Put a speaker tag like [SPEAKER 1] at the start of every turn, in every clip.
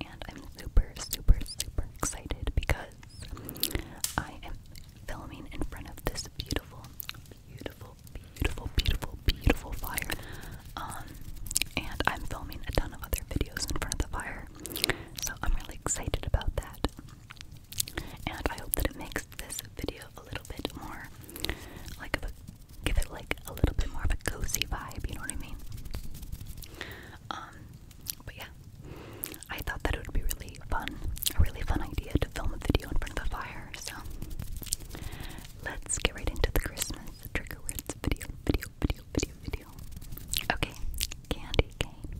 [SPEAKER 1] and I'm super, super, super excited because I am filming in front of this beautiful, beautiful, beautiful, beautiful, beautiful fire. Um, and I'm filming a ton of other videos in front of the fire, so I'm really excited about that. And I hope that it makes this video a little bit more like of a give it like a little bit more of a cozy vibe, you know what I mean?
[SPEAKER 2] Um, but yeah, I thought that it would be really fun, a really fun idea to film a video in front of a fire. So let's get right into the Christmas trigger words video, video, video, video, video. Okay, candy cane,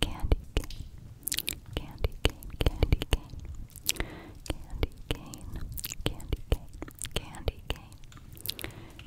[SPEAKER 2] candy cane, candy cane, candy cane, candy cane, candy cane, candy cane, candy cane,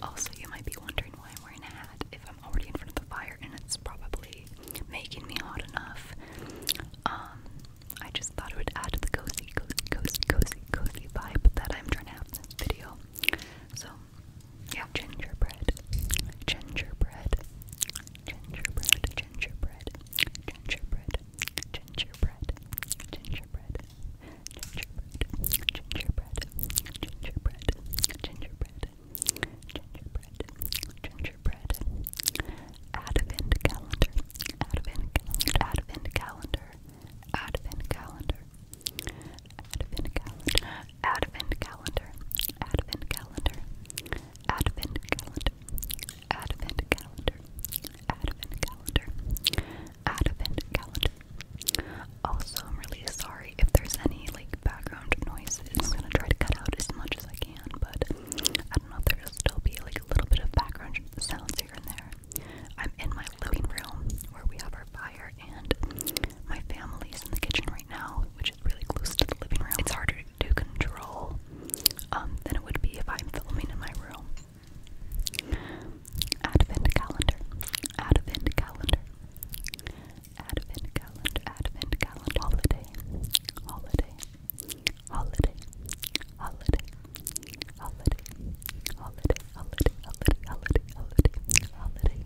[SPEAKER 2] also, you might be wondering why I'm wearing a hat if I'm already in front of the fire and it's probably making me hot enough. Um, I just thought it would add to the cozy, cozy, cozy, cozy, cozy vibe that I'm trying to have in this video. So yeah. Gingerbread. Gingerbread. Gingerbread. Gingerbread. Gingerbread. Gingerbread. Gingerbread. Gingerbread. Gingerbread. Gingerbread. Gingerbread. Gingerbread. Gingerbread. Advent calendar. Advent calendar. Advent calendar. Advent calendar. Advent calendar. Advent calendar. Advent calendar. Advent calendar. Advent calendar. Advent calendar. Advent calendar. Also, I'm really sorry if there's any like background noises. I'm gonna try to cut out as much as I can, but I don't know if there'll still be like a little bit of background sounds here and there. I'm in my living room where we have our fire there, and my family is in the kitchen right now, which is really close to the living room. It's harder to control um, than it would be if I'm filming in my room. Advent calendar, Advent calendar, Advent calendar, Advent calendar, holiday, holiday, holiday, holiday, holiday, holiday, holiday, holiday, holiday, holiday, holiday,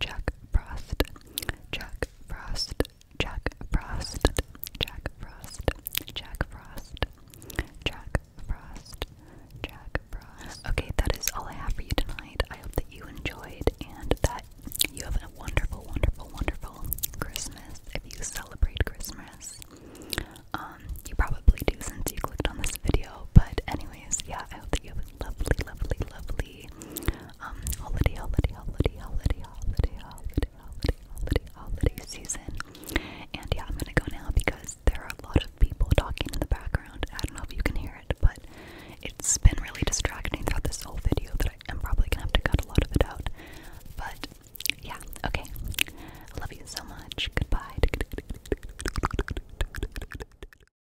[SPEAKER 1] Jack Frost, Jack Frost, Jack Frost, Jack Frost, Jack Frost, Jack Frost, Jack Frost. Okay, that is all I have for you tonight. I hope that you enjoyed and that you have a wonderful, wonderful, wonderful Christmas if you celebrate Christmas. Um, you probably do since you clicked on this video, but anyways, yeah, I hope that you have a lovely, lovely, lovely holy, um, holiday, holiday, holiday, holiday, holiday, holiday, holiday, holiday, holiday season. And yeah, I'm gonna go now because there are a lot of people talking in the background. I don't know if you can hear it, but it's been really distracting throughout this whole video that I am probably gonna have to cut a lot of it out. But yeah, okay. I love you so much. Goodbye.